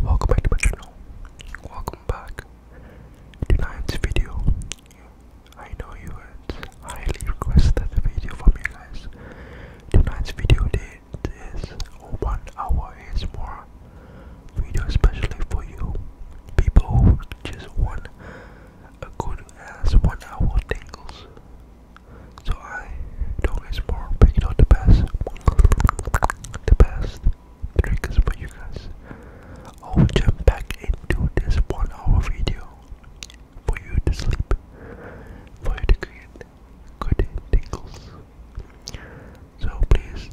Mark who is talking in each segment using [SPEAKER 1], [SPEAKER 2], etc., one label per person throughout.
[SPEAKER 1] Welcome back to my channel. Welcome back. Tonight's video. I know you had highly requested a video from you guys. Tonight's video date is one hour is more video especially for you people who just want a good ass one hour tingles so I don't explore picking out the best, the best triggers for you guys. I will jump back into this one hour video for you to sleep, for you to create good tingles. So please,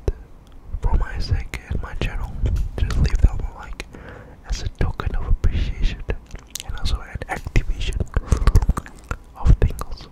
[SPEAKER 1] for my sake and my channel, just leave that like as a token of appreciation and also an activation of tingles.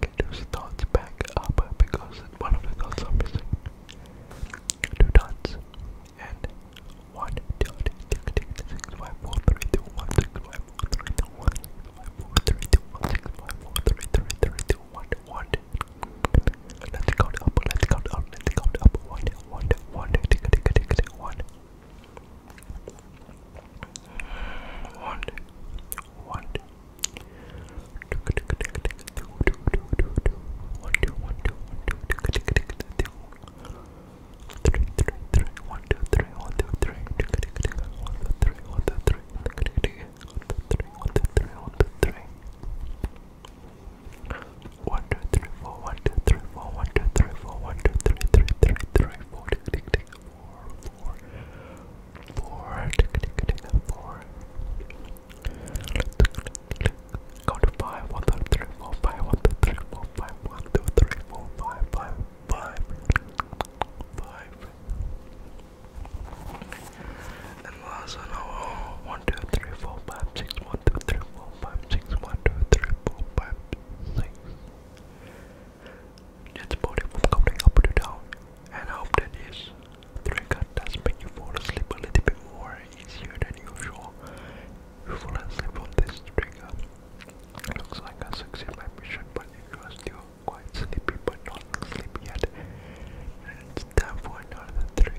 [SPEAKER 1] Get those thoughts back up because one of the thoughts are missing. Two dots and one dot. Tick, tick, six, five, four, three, two, one, six, five, four, three, two, one, six, five, four, three, two, one, six, five, four, three, three, three, two, one, one. Let's count up. Let's count up. Let's count up. One, one, one. Tick, tick, tick, tick, one. One, one four, four, four. Go to five, one, two, three, four, five, one, two, three, four, five, one, two, three, four, five, five, five, five. And last one, oh, one, two, three, four, five, six, one, two, three, four, five, six, one, two, three, four, five, six. It's body from coming up to down. And I hope that this trigger does make you fall asleep a little bit more easier than usual. You fall asleep on this trigger. It looks like I succeeded mission, but if you are still quite sleepy but not sleepy yet, then it's time for trigger.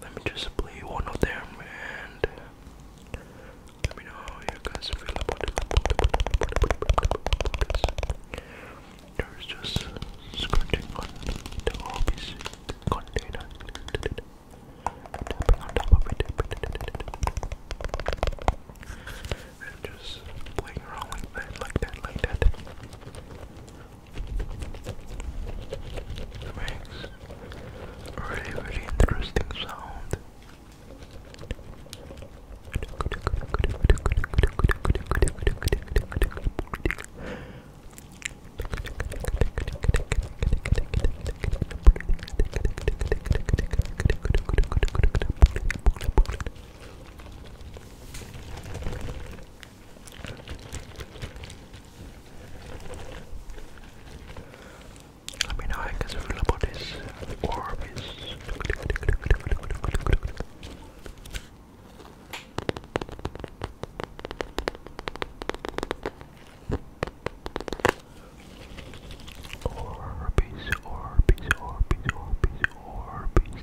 [SPEAKER 1] Let me just play one of them and let me know how you guys feel about it. just scratching on the office container. And just playing around like that, like that, like that. It makes a really, really interesting sound. Let me know how I feel about this orb Orbeez, orbeez, orbeez, orbeez, orbeez.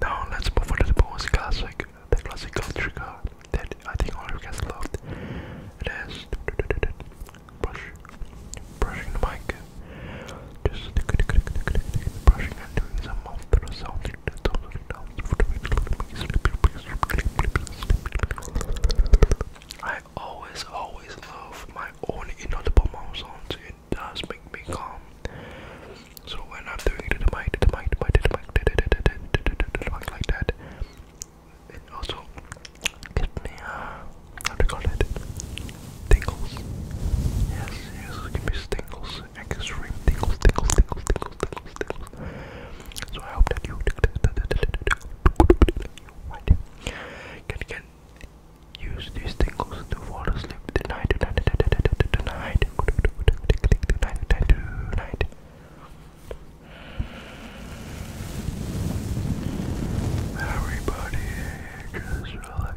[SPEAKER 1] Now let's move on to the most classic, the classical trigger that I think all of you guys loved. It is brush, brushing the mic, just brushing and doing some mouth sounds. I always, always love my own inaudible mouth sounds in does make me calm. So when I'm doing it to the mic, to the mic, to the mic, to the mic, to the mic like that, it also gives me uh, how do you call it? Tingles. Yes, yes, gives me tingles, extreme tingles, tingles, tingles, tingles, tingles, So I hope that you, can, can Use these tingles to fall asleep tonight, tonight, tonight, tonight, tonight, Everybody, just relax,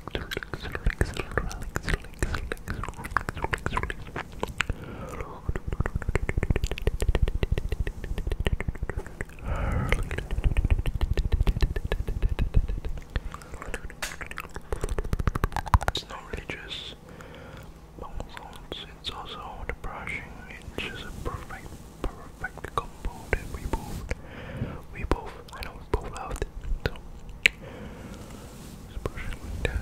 [SPEAKER 1] It's not religious. it's also the it's just a perfect, perfect combo that we both, we both, and pull out. So, just push it like that.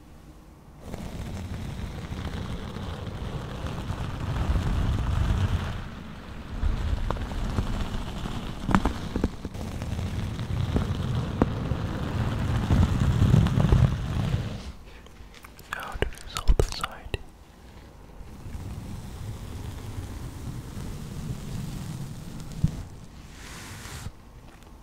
[SPEAKER 1] Now to this other side.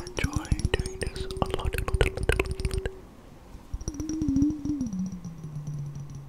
[SPEAKER 1] Enjoy doing this a lot, a lot, a lot, a lot.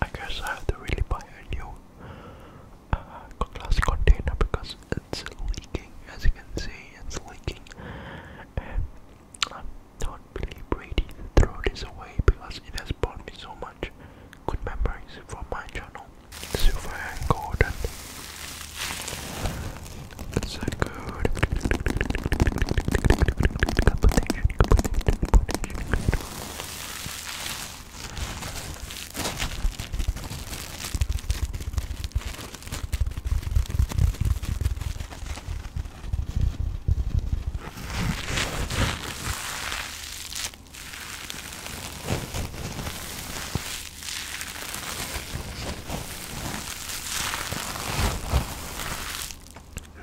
[SPEAKER 1] I guess I have to really buy a new uh, glass container because because it's leaking. As you can see, it's leaking. I'm not really ready to throw this away because it has brought me so much good memories for my channel. Silver and golden. It's a good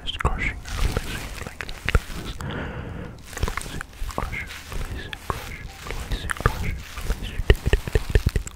[SPEAKER 1] just crushing and releasing like, like this. Releasing, crushing, releasing, crushing, releasing, crushing, releasing.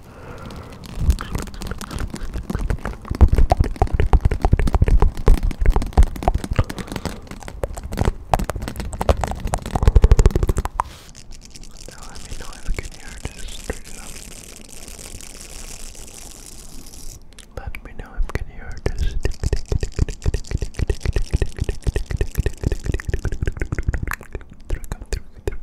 [SPEAKER 1] Now let me know if you can hear this straight up. Let me know if you can hear this. Trick, trick, trick, trick,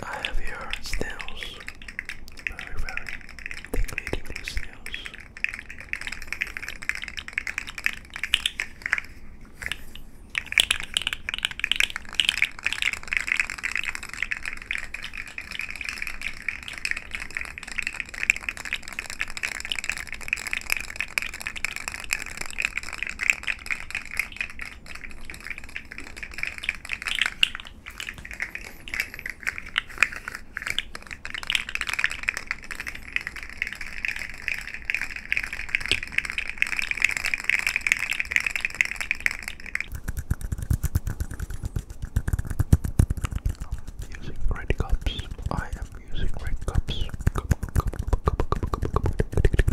[SPEAKER 1] I have your snails. Very, very tingly, tingly snails using red cups. I am using red cups. Cup, cup, cup, cup, cup, cup, cup, cup, cup.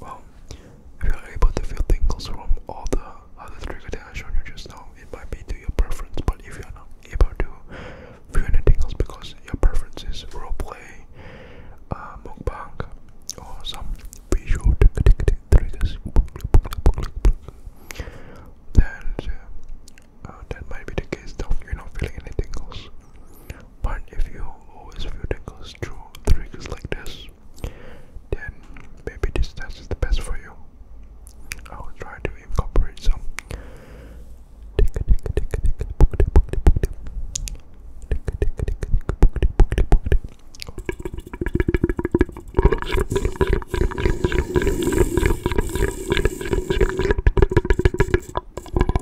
[SPEAKER 1] Well, if you're able to feel tingles from all the other trigger that I've you just now, it might be to your preference, but if you're not able to feel any tingles because your preference is roleplay, uh, mukbang, or some visual triggers, then uh, that might be the case though, you're not feeling anything tingles. But if you always feel tingles through triggers like this, then maybe this test is the best for you. I will try to incorporate some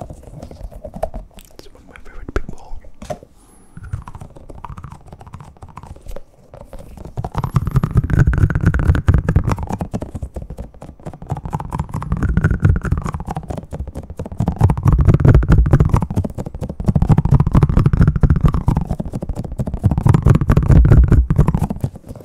[SPEAKER 1] It's one of my favorite people.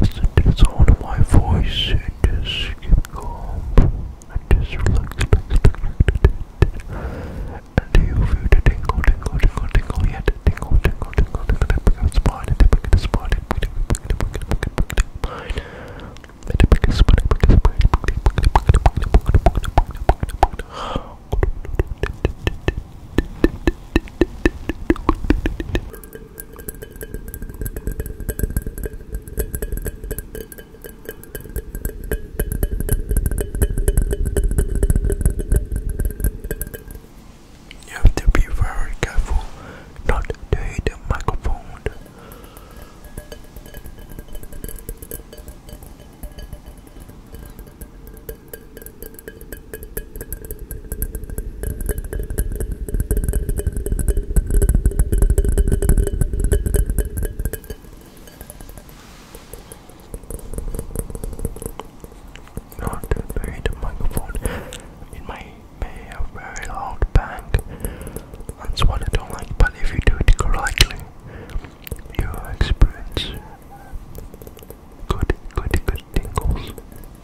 [SPEAKER 1] Listen to the sound of my voice and just keep calm and just relax, And do you feel the tingle, tingle, tingle, tingle yet? Tingle, tingle, tingle, tingle, tingle, spine, and the biggest spine, and the biggest spine, and the biggest spine, and the biggest spine, and the biggest spine, and the biggest spine. You have to be very careful not to hit the microphone. Not to bury the microphone in may a very loud bang. That's what I don't like, but if you do it correctly, you experience good, good, good tingles.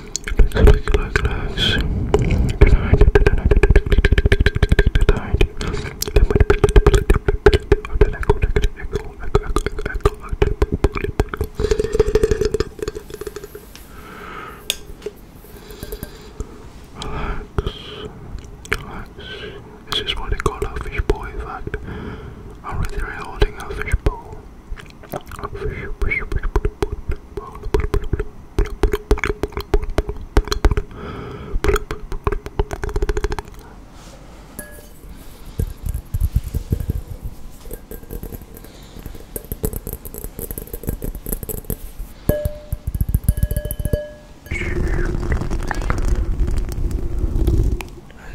[SPEAKER 1] This is what they call a fishbowl effect. I'm literally holding a fish, fish, fish, fish. As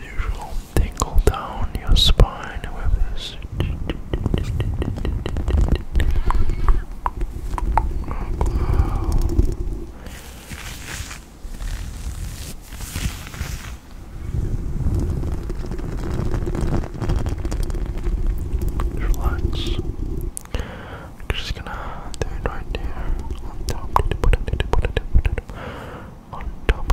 [SPEAKER 1] usual, tingle down your spine with this Relax. I'm just gonna do it right there. On top. On top.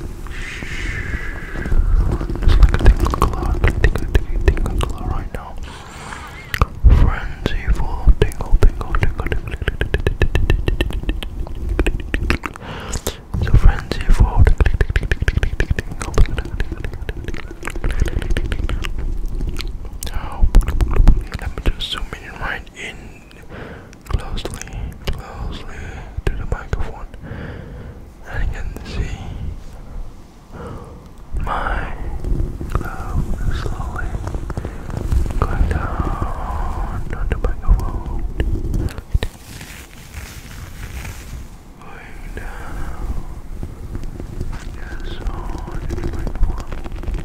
[SPEAKER 1] Just like a tingle glow, tingle, tingle, tingle glow right now. Frenzy full of tingle, tingle, tingle, tingle, tingle. It's a frenzy full of tingle, tingle, tingle, tingle. Now, let me just zoom in right in closely, closely to the microphone, and you can see my glove slowly going down on the microphone. Going down, yes, on the microphone.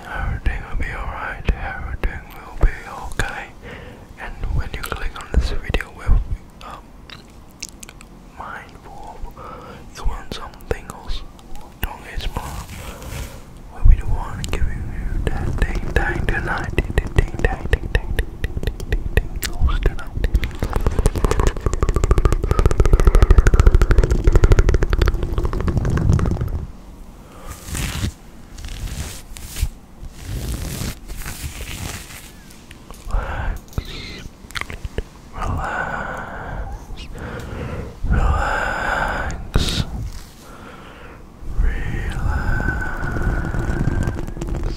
[SPEAKER 1] Everything will be alright, everything will be okay. And when you click on this video, we'll be um, mindful you want something else. Don't get small. We'll be the one giving you that ding dang tonight. Ding ding dang ding ding Hosted out. Relax. Relax. Relax. Relax.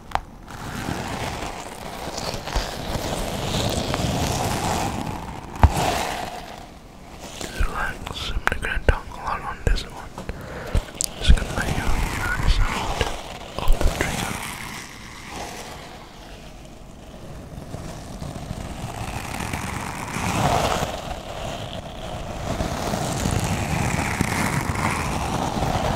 [SPEAKER 1] Relax, I'm not gonna talk a lot on this one. Just gonna let you hear the sound of the trigger. Relax.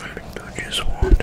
[SPEAKER 1] I think I just want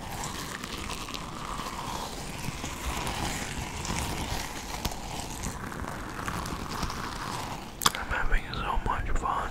[SPEAKER 1] I'm having so much fun.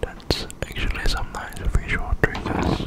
[SPEAKER 1] That's actually some nice visual triggers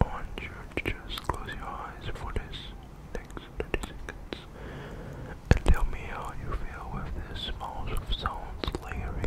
[SPEAKER 1] I want you to just close your eyes for this next 30 seconds and tell me how you feel with this amount of sounds layering.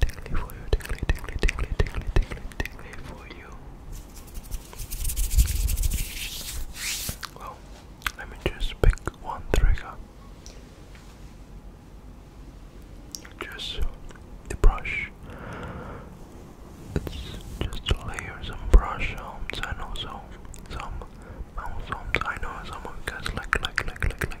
[SPEAKER 1] tingly for you, tingly, tingly, tingly, tingly, tingly, tingly for you. Well, let me just pick one trigger. Just the brush. just to layer some brush sounds and also some mouth sounds. I know some of you guys like, like, like, like, like,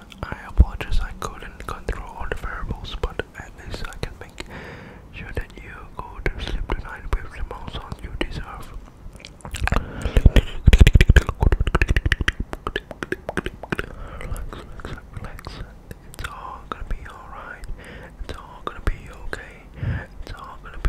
[SPEAKER 1] I apologize I couldn't control all the variables, but at least I can make sure that you go to sleep tonight with the most sound you deserve. Relax, relax, It's all gonna be alright. It's all gonna be okay. It's all gonna be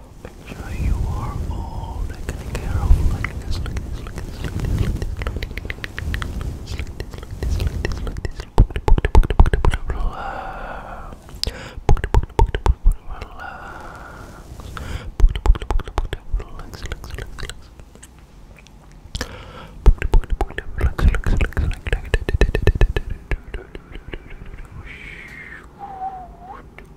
[SPEAKER 1] Make sure you are all taken care of. Like this, like this, like this, like this, like this, like this, like this, like this, like this, relax. Relax, relax, relax, relax.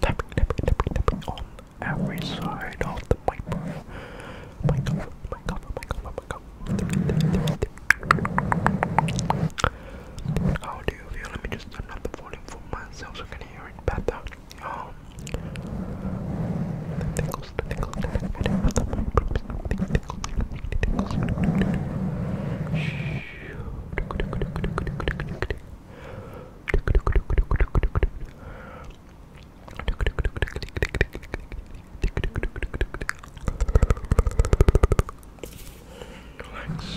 [SPEAKER 1] tapping, tapping, tapping, tapping on every side of the mic. Mic cover, mic cover, mic cover, mic cover. How do you feel? Let me just turn up the volume for myself so I can hear it better. Um, Shh. Relax. Relax.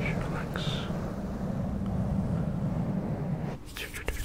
[SPEAKER 1] Relax. Just relax.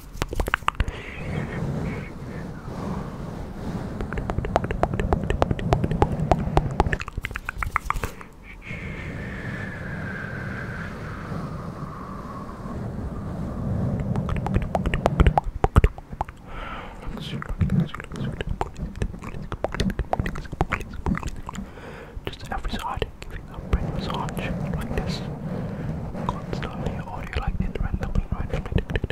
[SPEAKER 1] Just every side, giving a brain massage like this. Constantly, or do you like it randomly, randomly?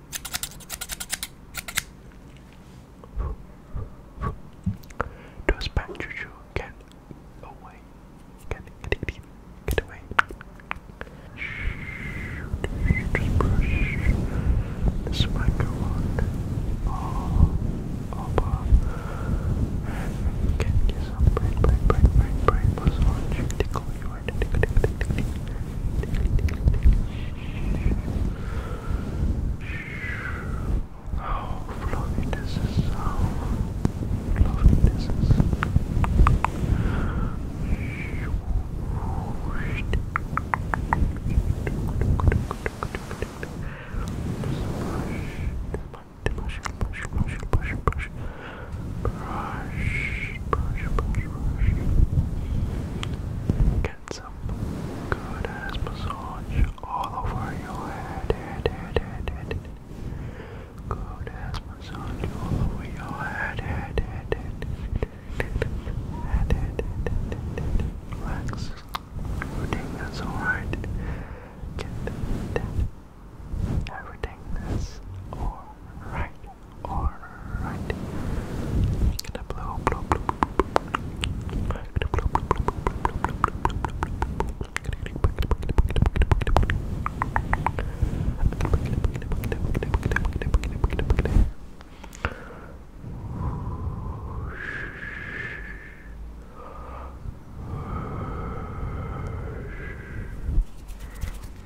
[SPEAKER 1] Does Bang get away? Get, get, get, get away. Just brush this microphone all over. Oh, Can oh, oh. get some brain, brain, brain, brain, brain massage, tickle you hard. How oh, fluffy this is, how oh, fluffy this is. Push, push, push, push, push, push, Brush, brush, brush, brush. Get some good ass massage all over your head, head, head, head, head. head. Good ass massage all over your head, head, head, head. Head, head, head, head, head. Relax. Everything is alright. Get that. Everything is alright. Alright. Gonna blow, blow, blow, gonna blow, blow, blow, blow, blow, Good.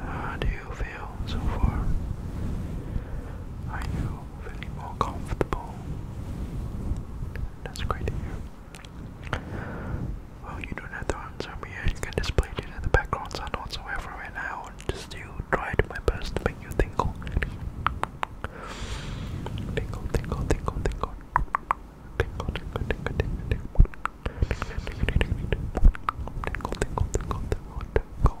[SPEAKER 1] How do you feel so far? Are you feeling more comfortable? That's great Well, you don't have to answer me yet. You can just play it in the background sound whatsoever right now. Just do try to my best make you tingle. Tingle, tingle, tingle, tingle. Tingle, tingle, tingle, tingle, tingle. Tingle, tingle, tingle, tingle, tingle.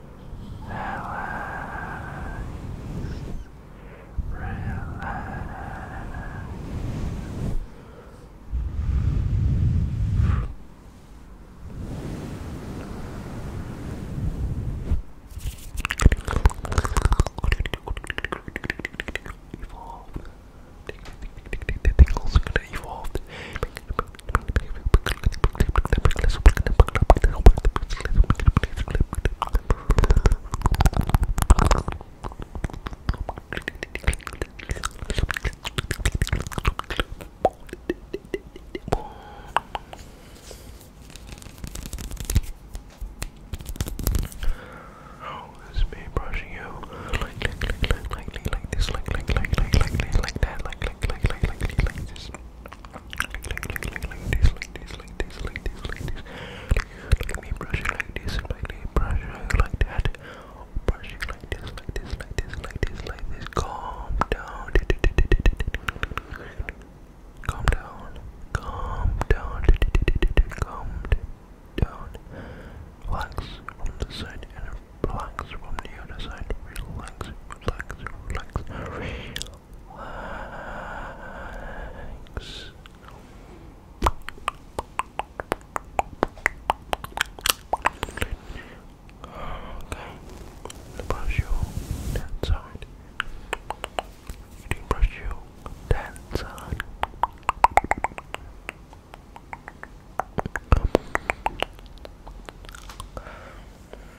[SPEAKER 1] Relax. Relax. Evolved. Tingles evolved. Oh, this is me brushing you like like like like like like like this like like like like like like like that like like like like like like this like, like, like, like, like this, like this, like this, like this, like this. Let me brush it like this, like this, brush it like that. Brush it like this, like this, like this, like this, like this. Calm down. Calm down. Calm down. Calm down. Relax from the side and relax from the other side. Relax, relax, relax, relax. Thanks. Okay, brush you that side. You brush you that side.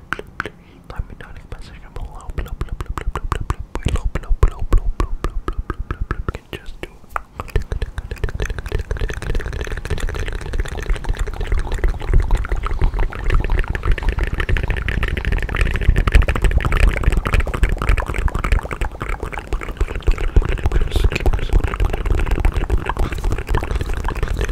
[SPEAKER 1] Let me know in the section below. We can just do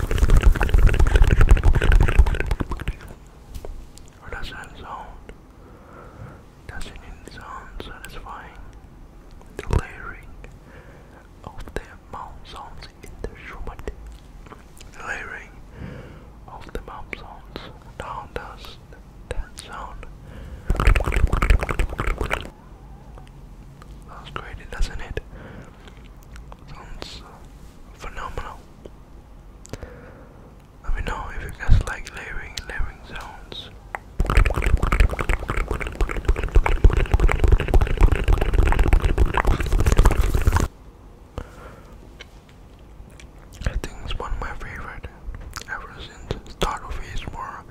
[SPEAKER 1] That's does that sound? That's not it sound satisfying? The layering of the mouth sounds in the Schubert. The layering of the mouth sounds down does that sound. That's great, doesn't it? Sounds uh, phenomenal. Let me know if you guys like layering, layering sounds. I think it's one of my favorite ever since Start War.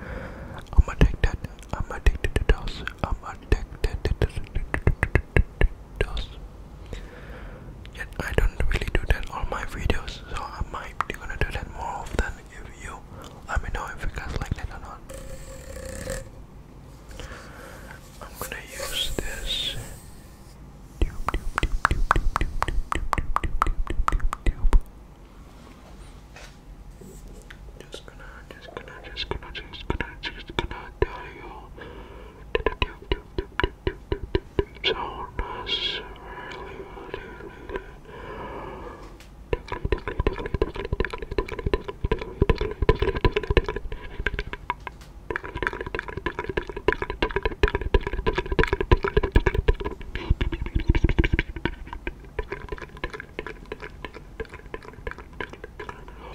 [SPEAKER 1] I'm addicted I'm addicted to DOS. I'm addicted to DOS. Yet I don't really do that on my videos, so I might be gonna do that more often if you let me know if you guys like that or not. I'm gonna use this just gonna, just gonna, just gonna, just gonna, just gonna tell you. So nice,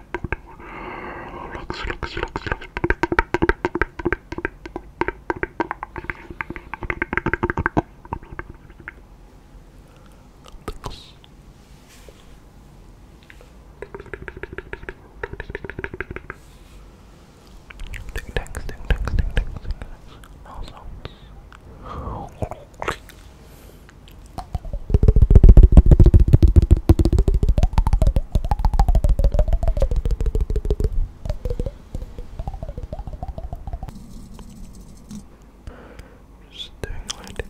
[SPEAKER 1] Relax, relax, relax, relax. relax. Ding, ding, ding, ding, ding, ding, ding. No sounds. Just doing like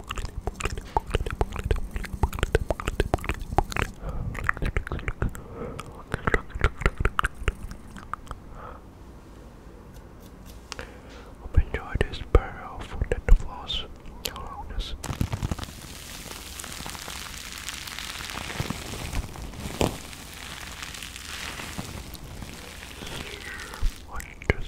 [SPEAKER 1] Hope you enjoy this pair of dental floss. Loudness. What does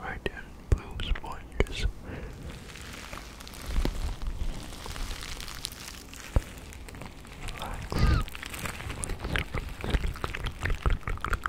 [SPEAKER 1] Right in blue sponges. Relax.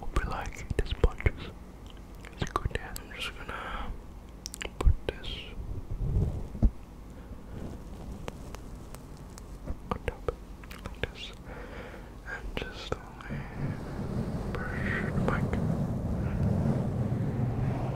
[SPEAKER 1] Hope you like these punches. It's good and I'm just gonna put this on top like this and just brush the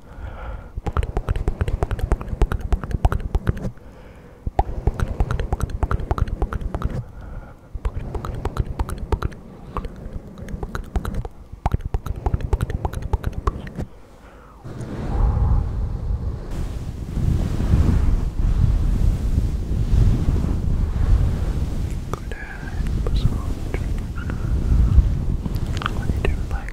[SPEAKER 1] Good head massage. What do you do, my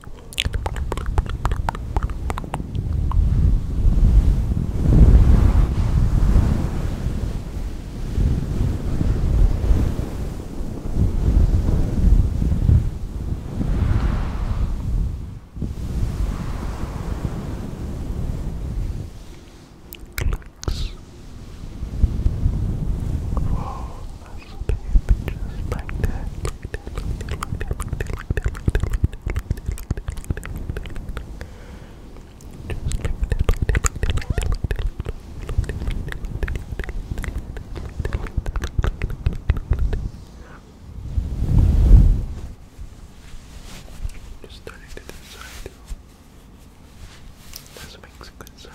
[SPEAKER 1] Clicks. Oh, that's baby, just like that. Click, just turning to the side. This makes good sounds.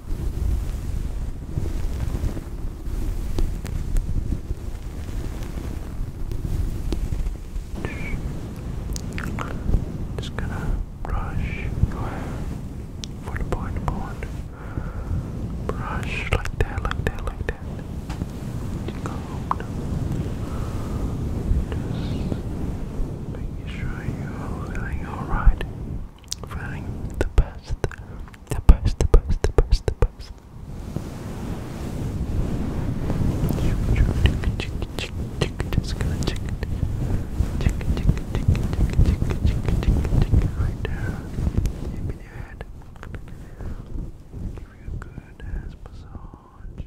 [SPEAKER 1] Just gonna brush for the point point. Brush like that, like that, like that. Just sure you're feeling alright trying the best, the best, the best, the best, the best. Just gonna check it, check it, check it, check it, check it, check it, check it, check it right there. Give me your head. Give you a good ass massage.